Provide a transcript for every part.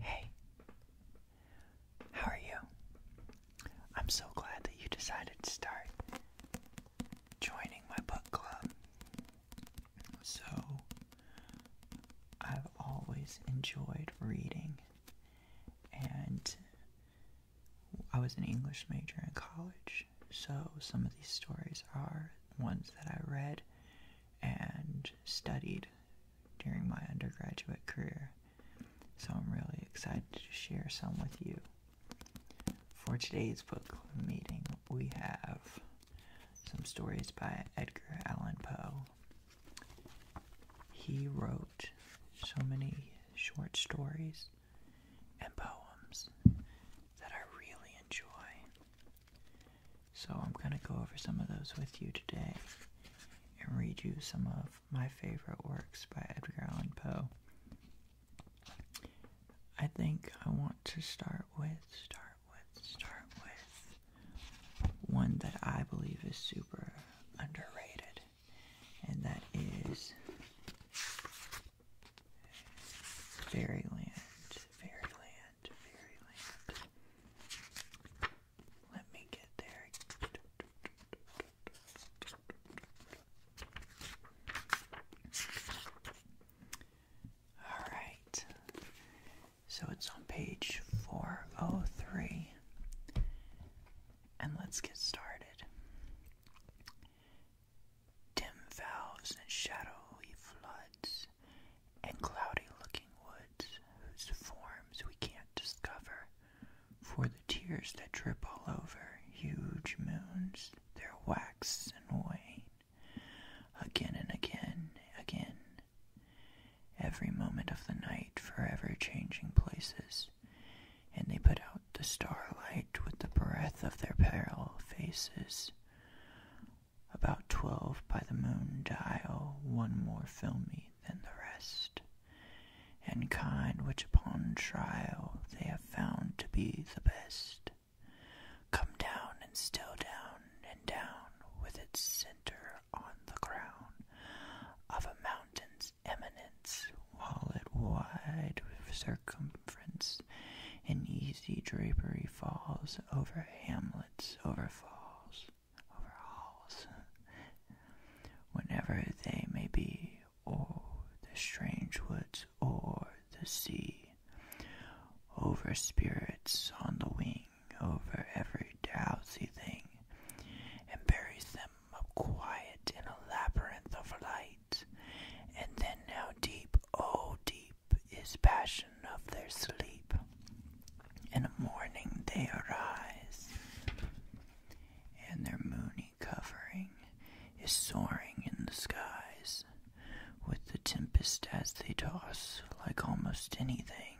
Hey, how are you? I'm so glad that you decided to start joining my book club. So, I've always enjoyed reading, and I was an English major in college, so some of these stories are ones that I read and studied during my undergraduate career. So I'm really excited to share some with you. For today's book club meeting, we have some stories by Edgar Allan Poe. He wrote so many short stories and poems that I really enjoy. So I'm going to go over some of those with you today and read you some of my favorite works by Edgar Allan Poe. I think I want to start with, start with, start with one that I believe is super underrated, and that is Fairyland, fairyland, fairyland. Let me get there. All right. So it's on page 403. And let's get started dim valves and shadowy floods, and cloudy-looking woods whose forms we can't discover, for the tears that drip all over huge moons, their wax and wane, again and again, again. Every moment of the night, forever changing places, and they put out the starlight with the breath of their parallel faces. About twelve by the moon dial, one more filmy than the rest, and kind which upon trial they have found to be the best. Come down and still down and down with its center on the crown of a mountain's eminence, while it wide circumference and easy drapery falls over hamlets, over falls, over halls, wherever they may be, o'er the strange woods, or the sea, over spirits on the wing, over every drowsy thing, and buries them up quiet in a labyrinth of light and then how deep, oh deep, is passion of their sleep. In the morning they arise, and their moony covering is soaring in the skies, with the tempest as they toss, like almost anything,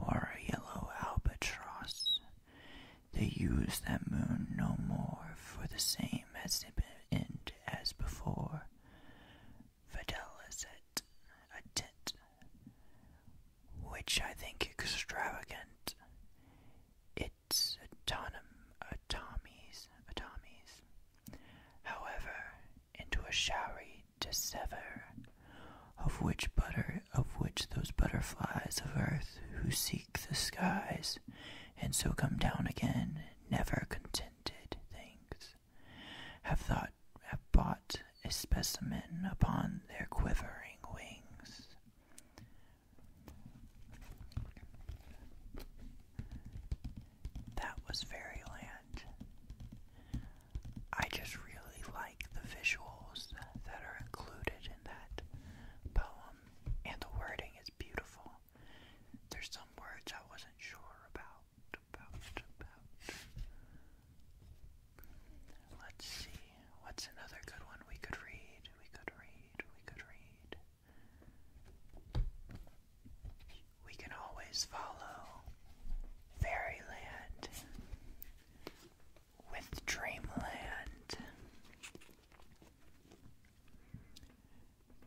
or a yellow albatross. They use that moon no more for the same as it been and, as before, Videla set a tent, which I think extravagant. It's autonom automies, automies. However, into a showery dissever, of which butter, of which those butterflies of earth who seek the skies, and so come down again, never contented things, have thought have bought a specimen upon their quivering wings. That was Fairyland. I just really like the visuals that are included in that poem, and the wording is beautiful. There's some words I wasn't sure About, about. Let's see. What's another good one we could read? We could read. We could read. We can always follow Fairyland with Dreamland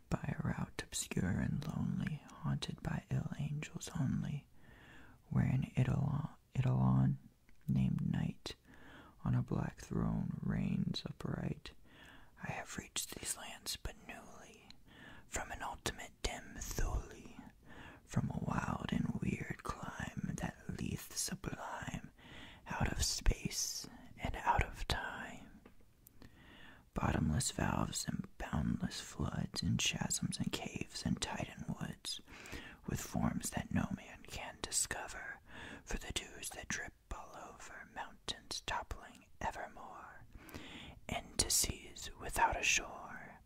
by a route obscure and lonely, haunted by ill angels only, where an italon, Idolon named Night on a black throne reigns upright. I have reached these lands but newly, from an ultimate dim Thule, from a wild and weird clime that leath sublime, out of space and out of time. Bottomless valves and boundless floods, and chasms and caves and titan woods, with forms that no man can discover, for the dews that drip all over mountains toppling evermore, into seas without a shore.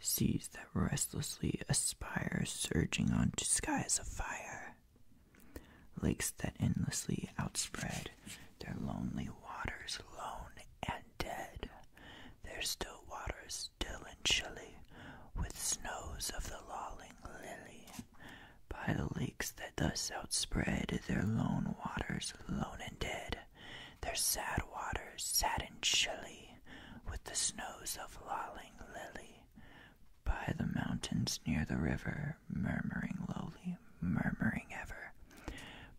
Seas that restlessly aspire, surging onto skies of fire, Lakes that endlessly outspread their lonely waters, lone and dead. Their still waters, still and chilly, with snows of the lolling lily. By the lakes that thus outspread their lone waters, lone and dead. Their sad waters, sad and chilly, with the snows of lolling lily by the mountains near the river, murmuring lowly, murmuring ever,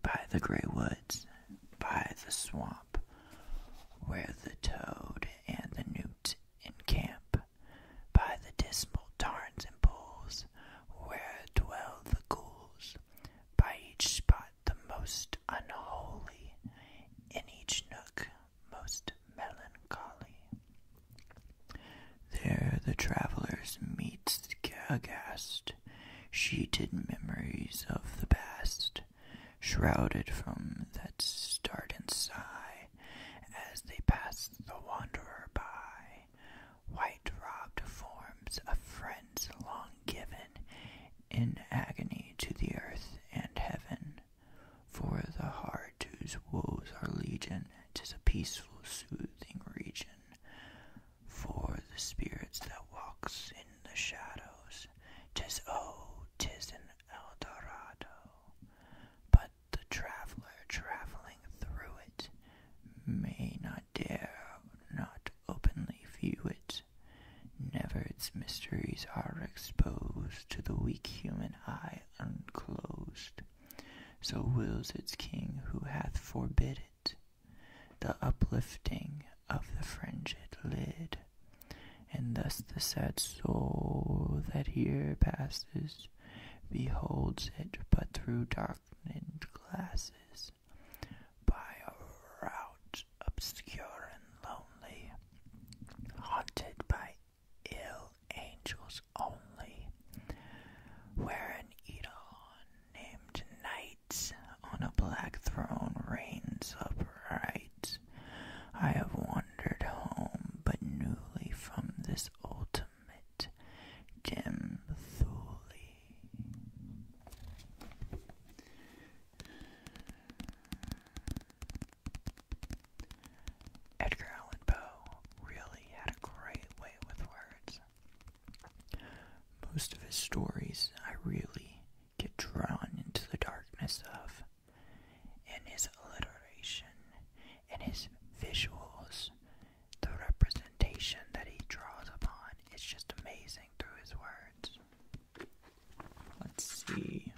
by the grey woods, by the swamp, where the toad and the newt encamp, by the dismal tarns and pools, where dwell the ghouls, by each spot the most unholy, in each nook most melancholy. There the travellers meet aghast, sheeted memories of the past, shrouded from that start and sigh, as they pass the wanderer by. White robed forms of friends long given, in agony to the earth and heaven, for the heart whose woes are legion, tis a peaceful, soothing region. For the spirit that walks in the shadows, tis oh, tis an El Dorado. But the traveler traveling through it may not dare not openly view it. Never its mysteries are exposed to the weak human eye unclosed so wills its king who hath forbid it the uplifting of the fringed lid. And thus the sad soul that here passes beholds it but through darkened glasses, by a route obscure and lonely, haunted by ill angels only, wherein Edon, named Night, on a black throne reigns upright. I have wandered home, but newly from this ultimate dim Edgar Allan Poe really had a great way with words. Most of his stories I really get drawn into the darkness of, and his alliteration and his visuals, the representation that he draws upon is just amazing through his words. Let's see.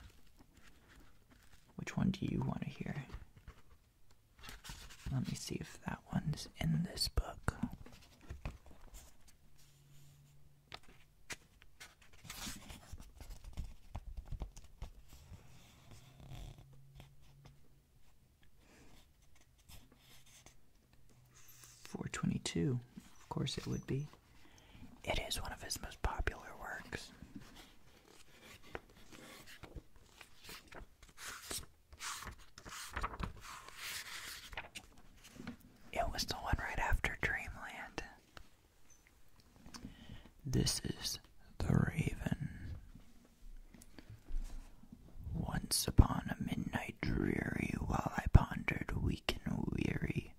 Which one do you want to hear? Let me see if that one's in this book. Four twenty two, of course it would be. It is one of his most popular works. It was the one right after Dreamland. This is The Raven. Once upon a midnight dreary, while I pondered weak and weary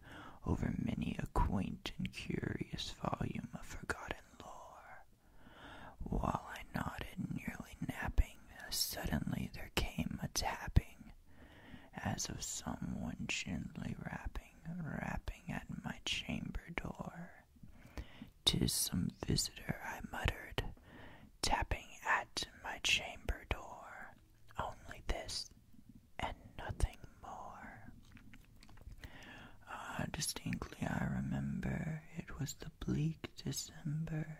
over many a quaint and curious volume of forgotten while I nodded, nearly napping, suddenly there came a tapping, as of someone gently rapping, rapping at my chamber door. 'Tis some visitor," I muttered, tapping at my chamber door. Only this, and nothing more. Ah, distinctly I remember it was the bleak December,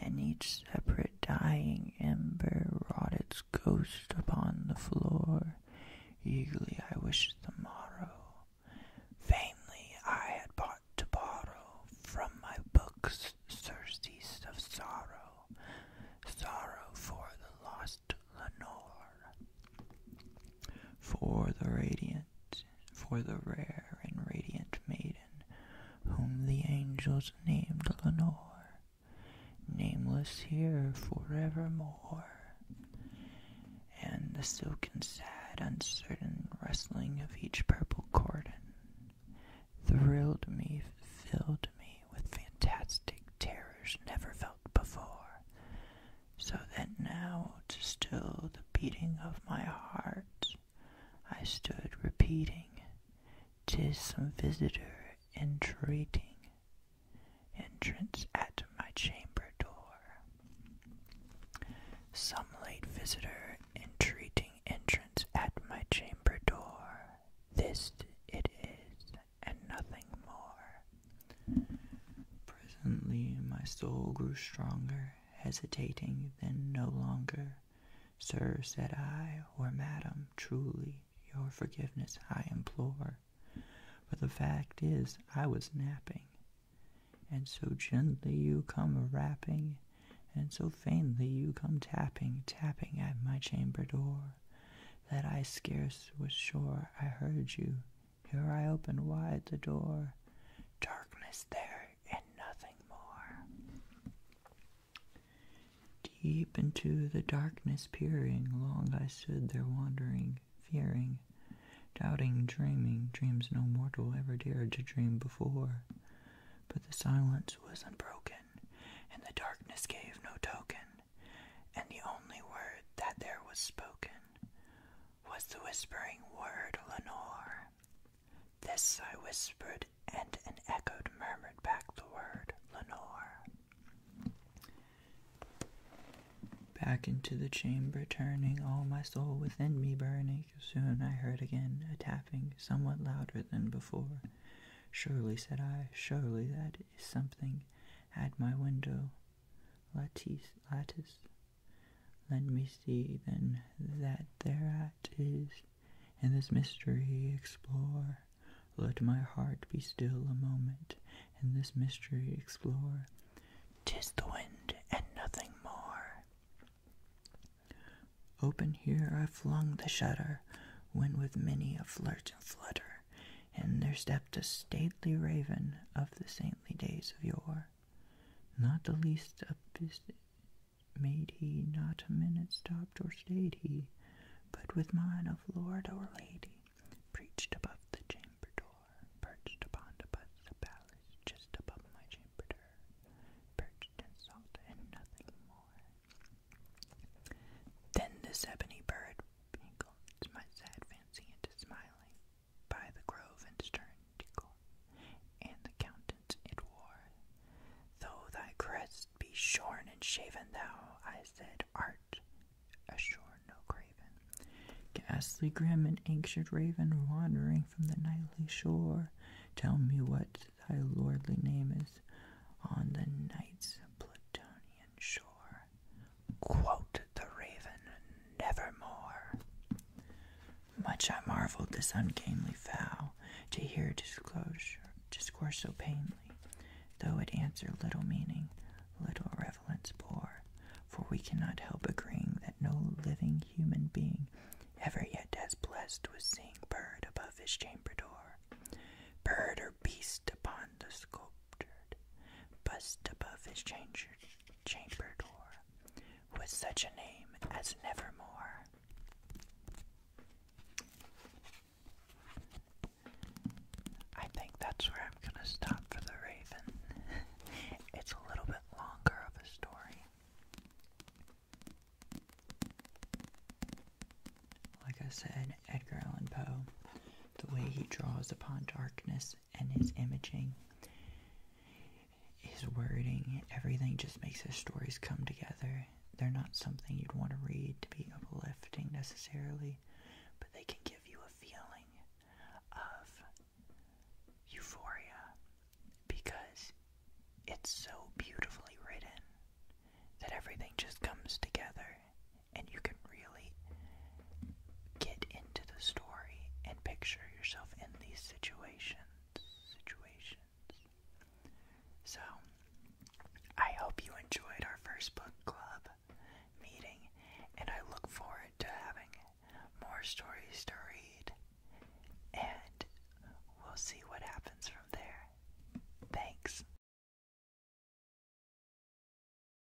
and each separate dying ember wrought its ghost upon the floor. Eagerly I wished the morrow. Vainly I had bought to borrow from my books surcease of sorrow, sorrow for the lost Lenore for the radiant, for the rare and radiant maiden, whom the angels named Lenore, nameless here forevermore. And the silken, sad, uncertain rustling of each purple cordon thrilled me, filled me with fantastic terrors never felt. before before, so that now to still the beating of my heart I stood repeating, "'Tis some visitor entreating entrance at my chamber door." Some late visitor entreating entrance at my chamber door. This it is, and nothing more. Presently my soul grew stronger, hesitating then no longer. Sir, said I, or madam, truly, your forgiveness I implore. But the fact is, I was napping, and so gently you come rapping, and so faintly you come tapping, tapping at my chamber door, that I scarce was sure I heard you, here I opened wide the door, darkness there and nothing more. Deep into the darkness peering, long I stood there wandering, fearing, doubting, dreaming, dreams no mortal ever dared to dream before. But the silence was unbroken, and the darkness gave no token, and the only word that there was spoken was the whispering word Lenore. This I whispered, and an echoed murmured back the word Lenore. Back into the chamber turning, all my soul within me burning. Soon I heard again a tapping, somewhat louder than before. Surely, said I, surely that is something at my window lattice, lattice. Let me see then that thereat is, in this mystery explore. Let my heart be still a moment, in this mystery explore. Tis the wind and nothing more. Open here I flung the shutter, when with many a flirt and flutter, and there stepped a stately raven of the same days of yore. Not the least of this made he, not a minute stopped or stayed he, but with mind of lord or lady, preached above the chamber door, perched upon the butts of palace, just above my chamber door, perched and salt and nothing more. Then this ebony bird pinkled my sad fancy into smiling, by the grove and stern Tekel, and the countenance it wore. Though thy crest be shorn and shaven, thou, I said, art ashore no craven. Ghastly, grim, and anxious raven, wandering from the nightly shore, tell me what thy lordly name is on the night's Plutonian shore. Quote the raven, nevermore. Much I marveled this ungainly fowl to hear disclosure, discourse so painly, though it answer little meaning, little relevance bore. For we cannot help agreeing that no living human being ever yet has blessed with seeing bird above his chamber door. Bird or beast upon the sculptured bust above his chamber door with such a name as Nevermore. I think that's where I'm going to stop for the Raven. it's a little bit longer of a story. Like I said, Edgar Allan Poe, the way he draws upon darkness and his imaging, his wording, everything just makes his stories come together. They're not something you'd want to read to be uplifting necessarily, but they can give you a feeling of euphoria because it's so beautifully written that everything just comes together and you can really get into the story and picture yourself in these situations. Situations. So, I hope you enjoyed our first book club meeting, and I look forward to having more stories to read. And we'll see what happens from there. Thanks.